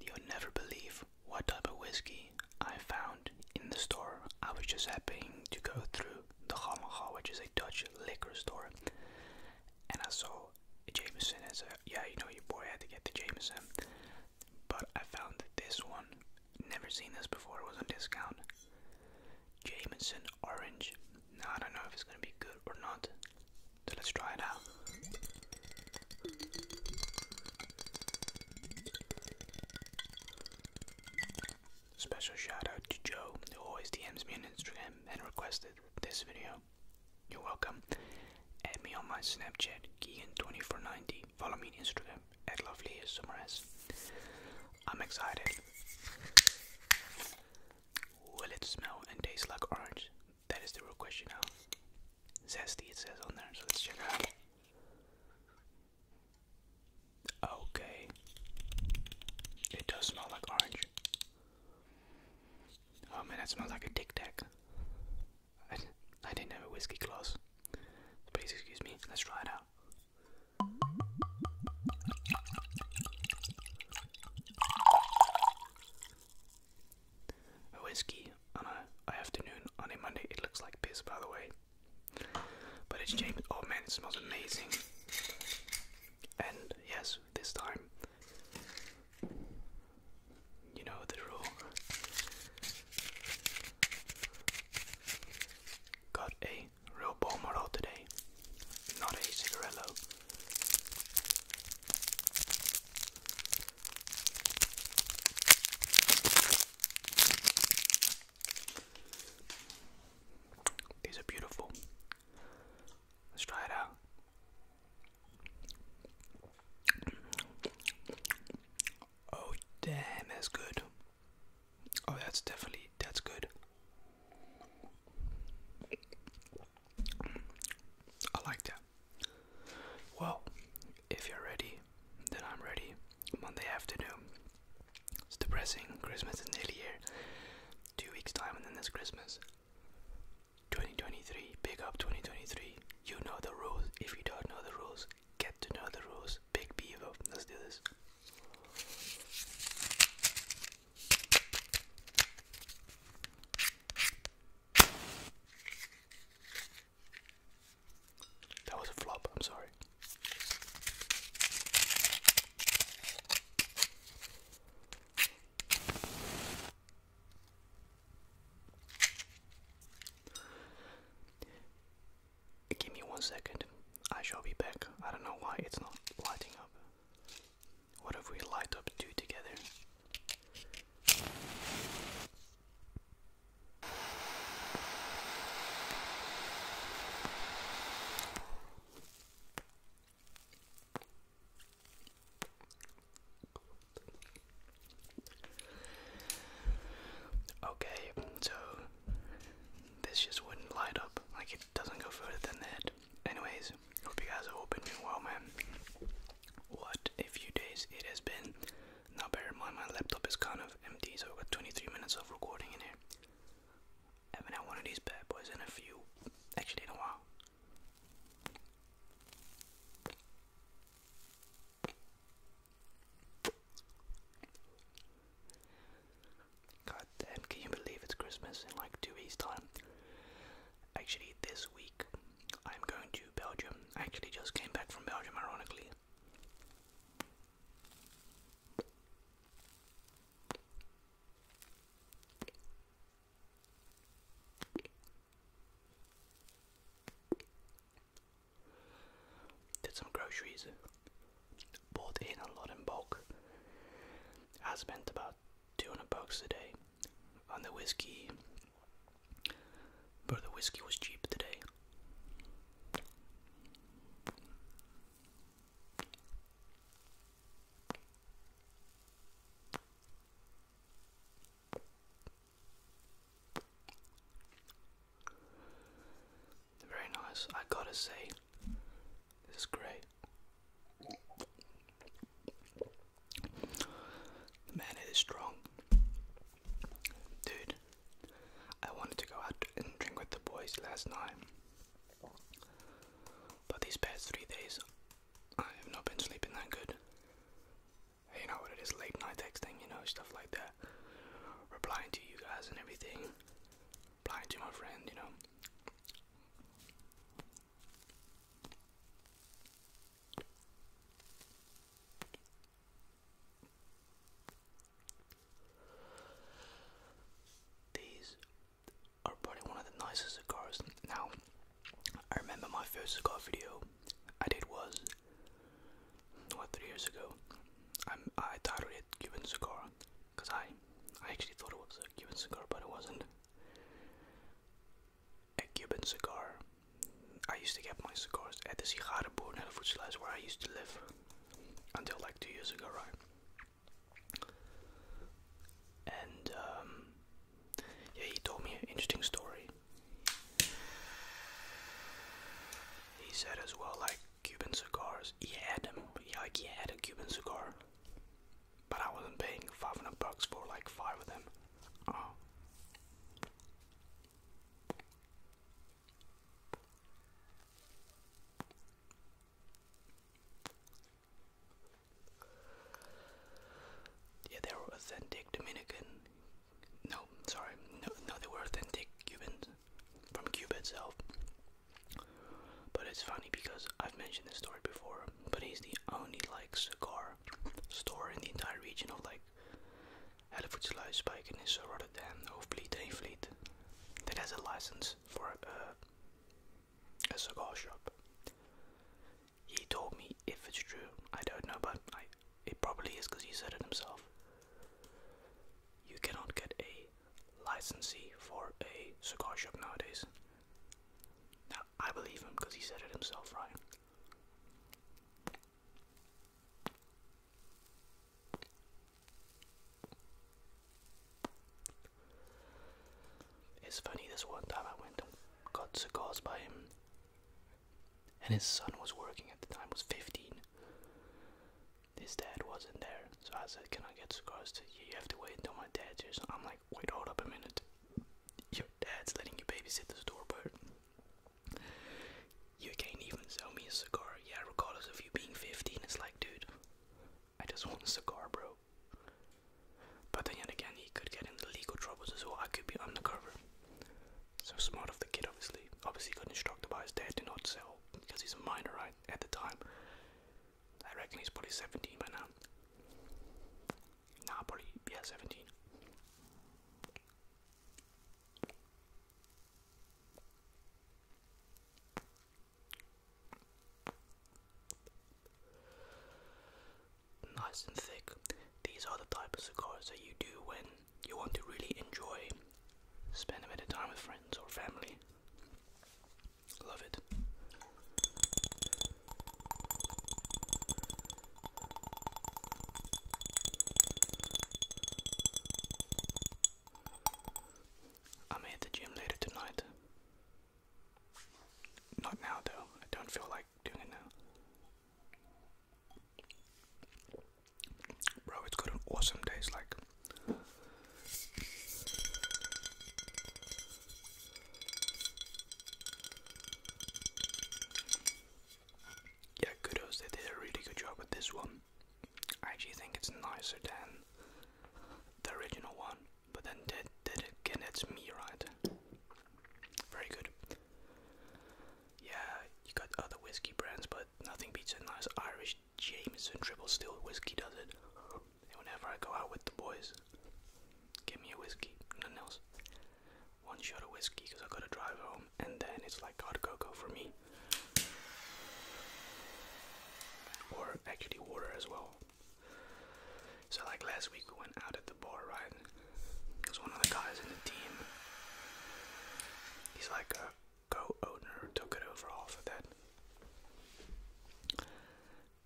You'll never believe what type of whiskey I found in the store. I was just happening to go through the Hamaha, which is a Dutch liquor store, and I saw Jameson as a yeah, you know, your boy had to get the Jameson. But I found this one, never seen this before, it was on discount. Jameson Orange. Now, I don't know if it's gonna be good or not. So let's try it out. Special shout out to Joe, who always DMs me on Instagram and requested this video. You're welcome. Add me on my Snapchat, Keegan2490. Follow me on Instagram at lovelysummers. I'm excited. Will it smell and taste like orange? That is the real question now. Zesty, it says on there, so let's check out. Okay. It does smell like orange. Oh man, that smells like a Tic Tac. I, didn't have a whiskey glass. Please excuse me, let's try it out a whiskey on a, afternoon on a Monday. It looks like piss, by the way. But it's James. Oh man, it smells amazing. And yes, this time, you know the rule. Got a real bomb today, not a cigarello. These are beautiful. Let's try it out. Oh, damn, that's good. Oh, that's definitely that's good. I like that. Well, if you're ready, then I'm ready. Monday afternoon. It's depressing. Christmas is nearly here. Two weeks' time, and then it's Christmas. 2023. Big up 2023. You know the rules. If you don't know the rules, get to know the rules. Big Beaver. Let's do this. That was a flop, I'm sorry. Give me one second. I shall be back. I don't know why it's not lighting up. What if we light up two together? Okay, so this just wouldn't light up. Like it doesn't go further than that. Anyways, Hope you guys are all well, man. What a few days it has been. Now, bear in mind, my laptop is kind of empty, so i got 23 minutes of recording in here. haven't had one of these bad boys in a few, actually, in a while. God damn, can you believe it's Christmas in like two weeks' time? Actually, this week I'm going to Belgium. actually just came back from Belgium, ironically. Did some groceries, bought in a lot in bulk. I spent about 200 bucks a day on the whiskey. But the whiskey was cheap today. Very nice, I gotta say, this is great. Man, it is strong. Dude, I wanted to go out and drink with the boys last night. But these past three days, I have not been sleeping that good. You know what it is, late night texting, you know, stuff like that. Replying to you guys and everything. Replying to my friend, you know. These are probably one of the nicest cigars. Now, I remember my first cigar video I did was what three years ago. I'm, I titled Cuban cigar because I I actually thought it was a Cuban cigar, but it wasn't a Cuban cigar. I used to get my cigars at the cigar near in El slice where I used to live until like two years ago, right? And um, yeah, he told me an interesting story. He said as well, like Cuban cigars. He had them. Like he had a Cuban cigar, but I wasn't paying 500 bucks for like five of them. Uh-huh. Yeah, they were authentic Dominican. No, sorry, no, no, they were authentic Cubans from Cuba itself. But it's funny because I've mentioned this story before, but he's the only like cigar store in the entire region of like Hellevoetsluisdijk in Nisse, Rotterdam, Hoofdvliet, Heenvliet that has a license for uh, a cigar shop. He told me if it's true, I don't know, but it probably is because he said it himself. You cannot get a licensee for a cigar shop nowadays. Now, I believe him because he said it himself, right? It's funny, this one time I went and got cigars by him, and his son was working at the time, was 15 his dad wasn't there. So I said, Can I get cigars to you? You have to wait until my dad's here. So I'm like, Wait, hold up a minute. Your dad's letting you babysit the store, but you can't even sell me a cigar. Yeah, regardless of you being 15, it's like, dude, I just want a cigar, bro. But then again, he could get into legal troubles as well. I could be undercover. So smart of the kid, obviously. Obviously, got instructed by his dad to not sell because he's a minor, right? At the time, I reckon he's probably 17 by now. Nah, probably, yeah, 17. Nice and thick. These are the type of cigars that you do when you want to really enjoy spend a bit of time with friends or family. Love it. I'm at the gym later tonight. Not now, though. I don't feel like doing it now. Bro, it's got an awesome taste. Like, yeah, kudos, they did a really good job with this one. I actually think it's nicer than the original one, but then did, did again, it's me, right? Very good. Yeah, you got other whiskey brands, but nothing beats a nice Irish Jameson triple still whiskey does it. whenever I go out with the boys, give me a whiskey, nothing else. One shot of whiskey because I gotta drive home, and then it's like hot cocoa for me. Or actually, water as well. So, like last week, we went out at the bar, right? Because one of the guys in the team, he's like a co owner took it over after that.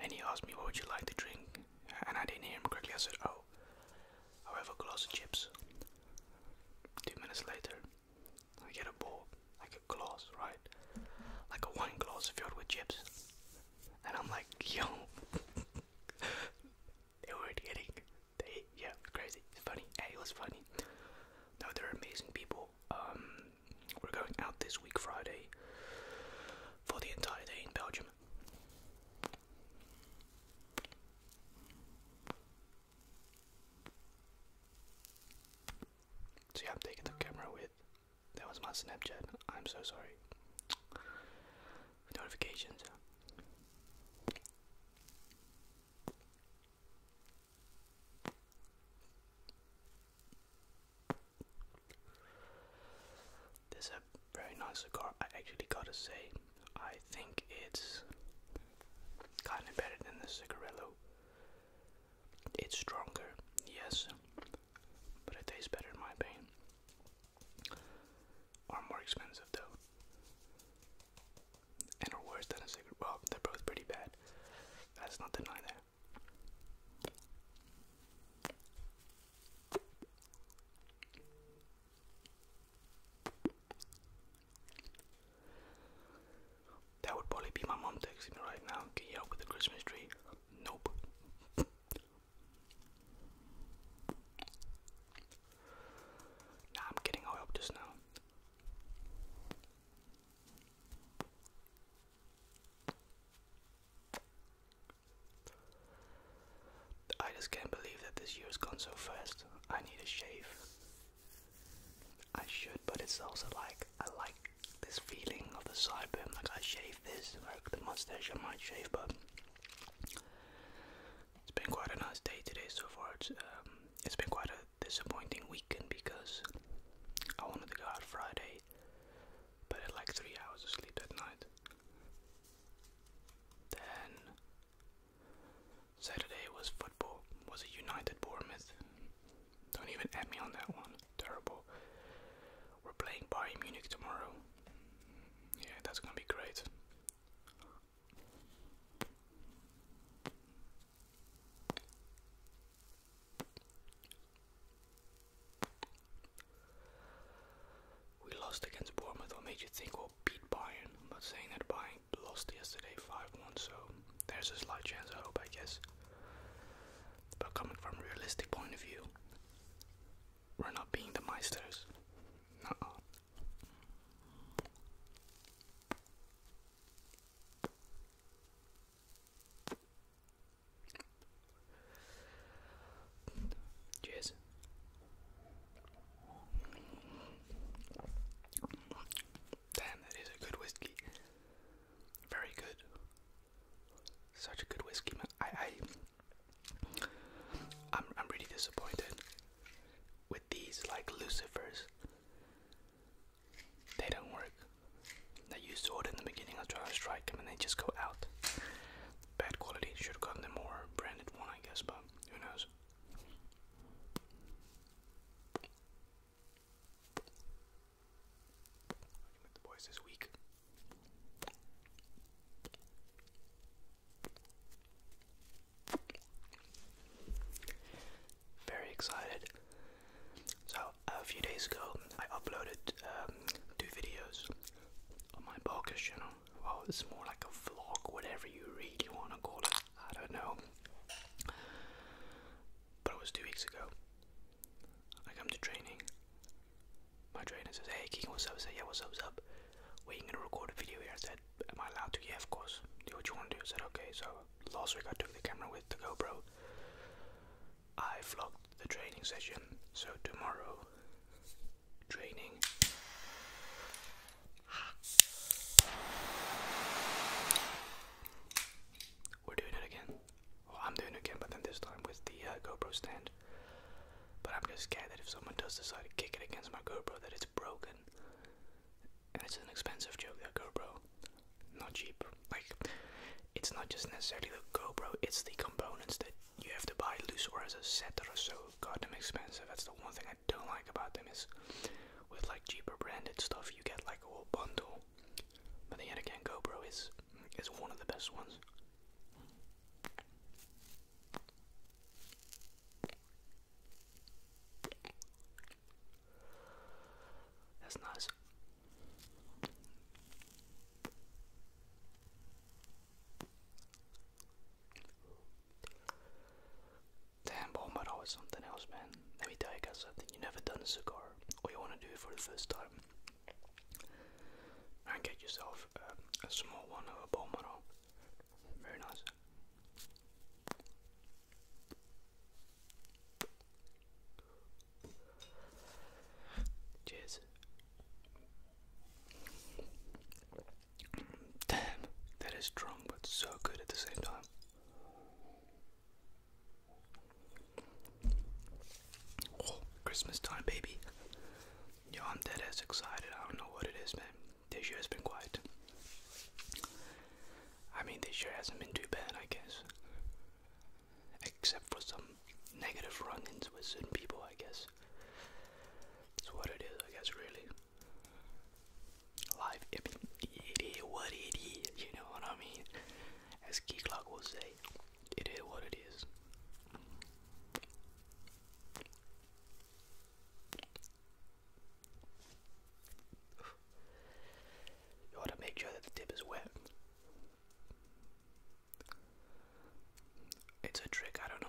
And he asked me, What would you like to drink? And I didn't hear him correctly. I said, Oh, I'll have a glass of chips. Two minutes later, I get a bowl, like a glass, right? Like a wine glass filled with chips. And I'm like, Yo, they weren't getting. They, yeah, crazy. It's funny. Hey, it was funny. No, they're amazing people. Um, we're going out this week, Friday, for the entire day in Belgium. So, yeah, I'm taking the camera with. That was my Snapchat. I'm so sorry. Notifications. This is a very nice cigar. I actually gotta say, I think it's kind of better than the cigarillo. It's stronger, yes, but it tastes better in my opinion. Or more expensive though and are worse than a cigarette. Well, they're both pretty bad. That's not denying that. That would probably be my mom texting me right now. Can you help with the Christmas tree? Nope. I'm kidding. I'll help just now. I just can't believe that this year's gone so fast. I need a shave. I should, but it's also like I like this feeling of the sideburn. Like I shave this, like the mustache, I might shave, but it's been quite a nice day today so far. it's um, been quite a disappointing weekend because I wanted to go out Friday, but I like three hours of sleep that night. Then Saturday was football, was a United Bournemouth? Don't even add me on that one. Terrible. We're playing Bayern Munich tomorrow. Yeah, that's gonna be great. We lost against Bournemouth. What made you think we'll beat Bayern? I'm not saying that Bayern lost yesterday 5-1, so there's a slight chance. I hope, I guess. But coming from a realistic point of view, we're not being the Meisters. Uh Cheers. Damn, that is a good whiskey. Very good. Such a good whiskey. I, I, I'm, I'm really disappointed with these like lucifers they don't work that you sort in the beginning of try to strike them and they just go out bad quality should have gotten a more branded one i guess but who knows the boys this week very excited. So, a few days ago, I uploaded um, two videos on my Barker's channel. Well, it's more like a vlog, whatever you really want to call it. I don't know. But it was two weeks ago. I come to training. My trainer says, Hey, King, what's up? I say, Yeah, what's up? What's up? Were you gonna record a video here? I said, Am I allowed to? Yeah, of course. Do what you want to do. I said, Okay, so last week I took the camera with the GoPro. I vlogged the training session, so tomorrow, training. We're doing it again. I'm doing it again, but then this time with the uh, GoPro stand. But I'm just scared that if someone does decide to kick it against my GoPro, that it it's broken. And it's an expensive joke, that GoPro. Not cheap. Like, it's not just necessarily the GoPro, it's the components that you have to buy loose or as a set that are so goddamn expensive. That's the one thing I don't like about them is with like cheaper branded stuff you get like a whole bundle. But then again GoPro is is one of the best ones. That's nice. Damn, Bombardo is something else, man. Let me you guys something. you never done a cigar, you want to do it for the first time, and get yourself um, a small one of a Bombardo. Very nice. Cheers. Damn, that is strong but so good at the same time. Oh, Christmas time, baby. Yo, I'm dead as excited. I don't know what it is, man this year has been quiet. I mean, this year hasn't been too bad, I guess. Except for some negative run ins with certain people, I guess. That's what it is, I guess, really. Life, it is what it is, you know what I mean? As Key Clock will say, it is what it is. You ought to make sure that the tip is wet. It's a trick, I don't know.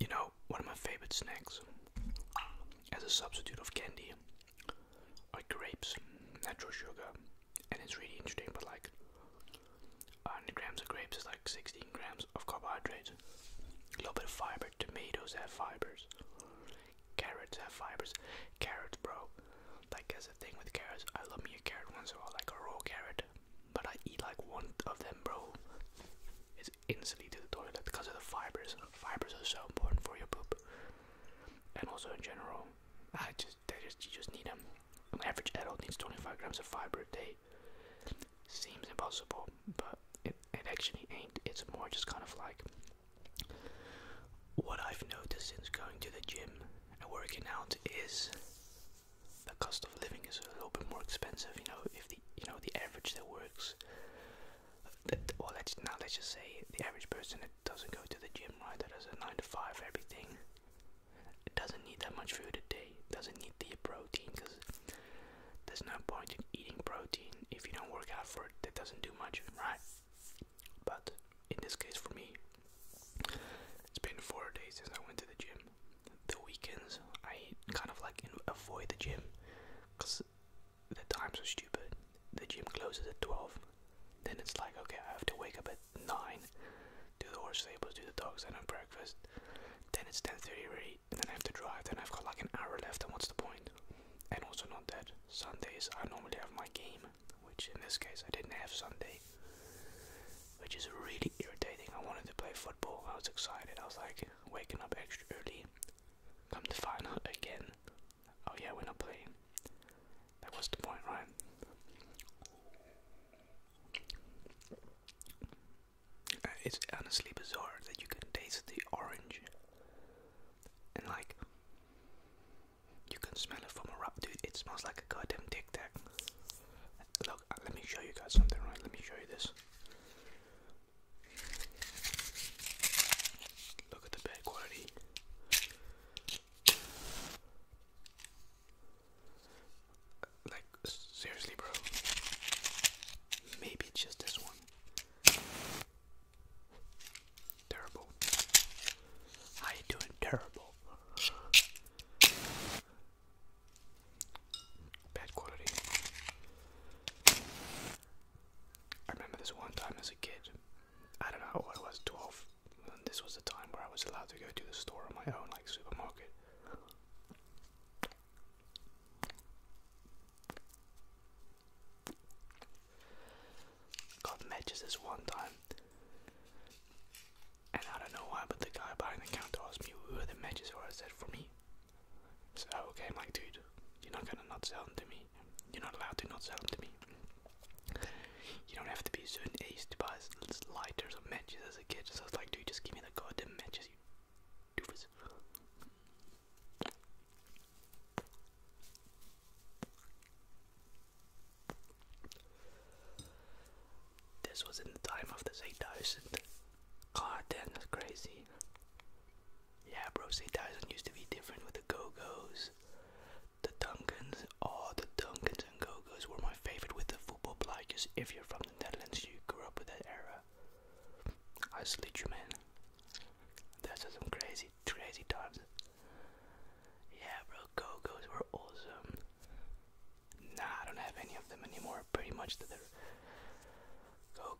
You know, one of my favorite snacks as a substitute of candy are grapes, natural sugar, and it's really interesting, but like 100 grams of grapes is like 16 grams of carbohydrates. A little bit of fiber. Tomatoes have fibers. Carrots have fibers. Carrots, bro. Like, as a thing with carrots, I love me a carrot once in a while, like a raw carrot. But I eat like one of them, bro. It's instantly to the toilet because of the fibers. Fibers are so important for your poop, and also in general. I just, you just need them. An average adult needs 25 grams of fiber a day. Seems impossible, but it, it actually ain't. It's more just kind of like what I've noticed since going to the gym and working out is the cost of living is a little bit more expensive. You know, if the you know the average that works, that, let's now let's just say the average person that doesn't go to the gym, right? That has a nine to five everything it doesn't need that much food a day. doesn't need the protein because there's no point in eating protein if you don't work out for it. That doesn't do much, right? But in this case, for me, it's been four days since I went to the gym. The weekends, I kind of like avoid the gym because the times are stupid. The gym closes at 12. Then it's like, okay, I have to wake up at nine. Do the horse stables, do the dogs, then have breakfast. Then it's ten thirty already. And then I have to drive. Then I've got like an hour left. And what's the point? And also not that Sundays I normally have my game, which in this case I didn't have Sunday, which is really irritating. I wanted to play football. I was excited. I was like waking up extra early. Come to find out again. Oh yeah, we're not playing. That was the point, right? Uh, it's honestly bizarre that you can taste the orange and like you can smell it from a wrap, dude. It smells like a goddamn tic tac. Look, uh, let me show you guys something, right? Let me show you this. Look at the bad quality. Like, seriously, bro. Maybe just this one. Terrible. How you doing? Terrible. Bad quality. I remember this one time as a kid. I don't know how old I was, 12, this was the time where I was allowed to go to the store on my own, like supermarket. Got matches this one time. And I don't know why, but the guy behind the counter asked me who are the matches for. I said, for me. So, I'm like, dude, you're not gonna not sell them to me. You're not allowed to not sell them to me you don't have to be a certain age to buy lighters or matches as a kid. So I was like, dude, just give me the goddamn matches, you doofus. This was in the time of this 8000. God damn, that's crazy. Yeah, bro, 8000 used to be different with the Go Go's. The Duncans, oh, the Duncans and go were my favorite with the football players. If you're from the Netherlands, you grew up with that era. I salute you, man. Those are some crazy, crazy times. Yeah, bro, go were awesome. Nah, I don't have any of them anymore. Pretty much the go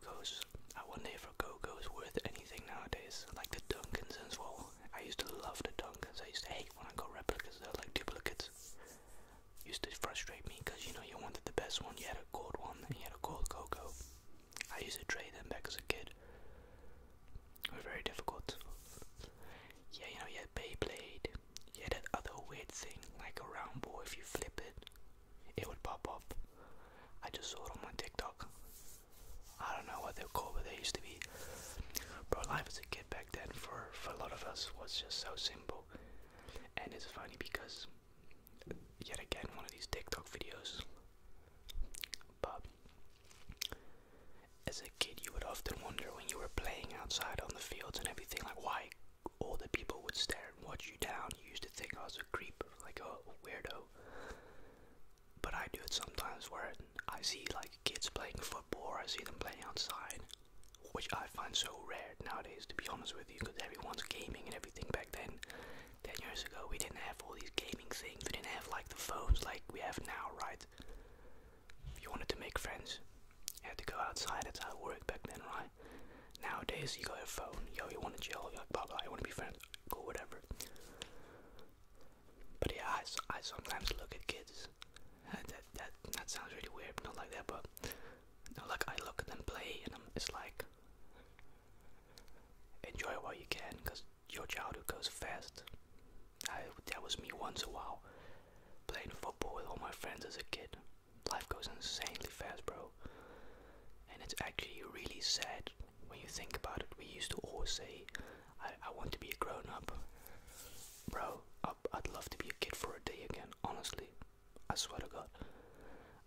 I wonder if a go worth anything nowadays, like the Duncans as well. I used to love the Dunkers. I used to hate when I got replicas. They're like duplicates. Used to frustrate me because you know you wanted the best one. You had a gold one and you had a gold Coco. I used to trade them back as a kid. They were very difficult. Yeah, you know you had Beyblade. You had that other weird thing like a round ball. If you flip it, it would pop up. I just saw it on my TikTok. I don't know what they're called, but they used to be Bro, life as a kid back then for for a lot of us was just so simple, and it's funny because yet again one of these TikTok videos. But as a kid, you would often wonder when you were playing outside on the fields and everything, like why all the people would stare and watch you down. You used to think I was a creep, like a weirdo. But I do it sometimes where I see like kids playing football I see them playing outside, which I find so rare nowadays, to be honest with you, because everyone's gaming and everything back then. 10 years ago, we didn't have all these gaming things, we didn't have like the phones like we have now, right? If you wanted to make friends, you had to go outside, that's how it worked back then, right? Nowadays, you got your phone, yo, you want to chill, you're like, blah blah, you want to be friends, cool, whatever. But yeah, I, I sometimes look at kids. Uh, that, that that sounds really weird, not like that, but no, like I look at them play, and I'm, it's like enjoy while you can, cause your childhood goes fast. that was me once a while playing football with all my friends as a kid. Life goes insanely fast, bro. And it's actually really sad when you think about it. We used to always say I, I want to be a grown up. Bro, I, would love to be a kid for a day again, honestly. I swear to God.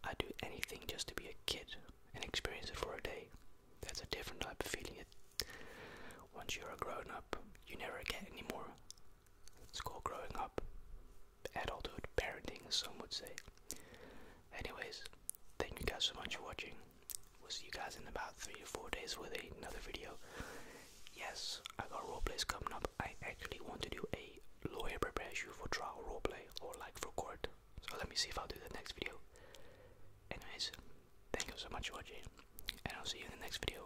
I'd do anything just to be a kid and experience it for a day. That's a different type of feeling. once you're a grown up, you never get any more. It's called growing up. Adulthood, parenting, some would say. Anyways, thank you guys so much for watching. We'll see you guys in about three to four days with another video. Yes, I got roleplays coming up. I actually want to do a lawyer prepares you for trial roleplay or like for court. So let me see if I'll do the next video. Anyways, thank you so much for watching, and I'll see you in the next video.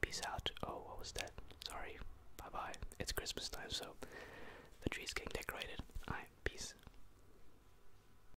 Peace out. Oh, what was that? Sorry. Bye bye. It's Christmas time, so the tree's getting decorated. Alright, peace.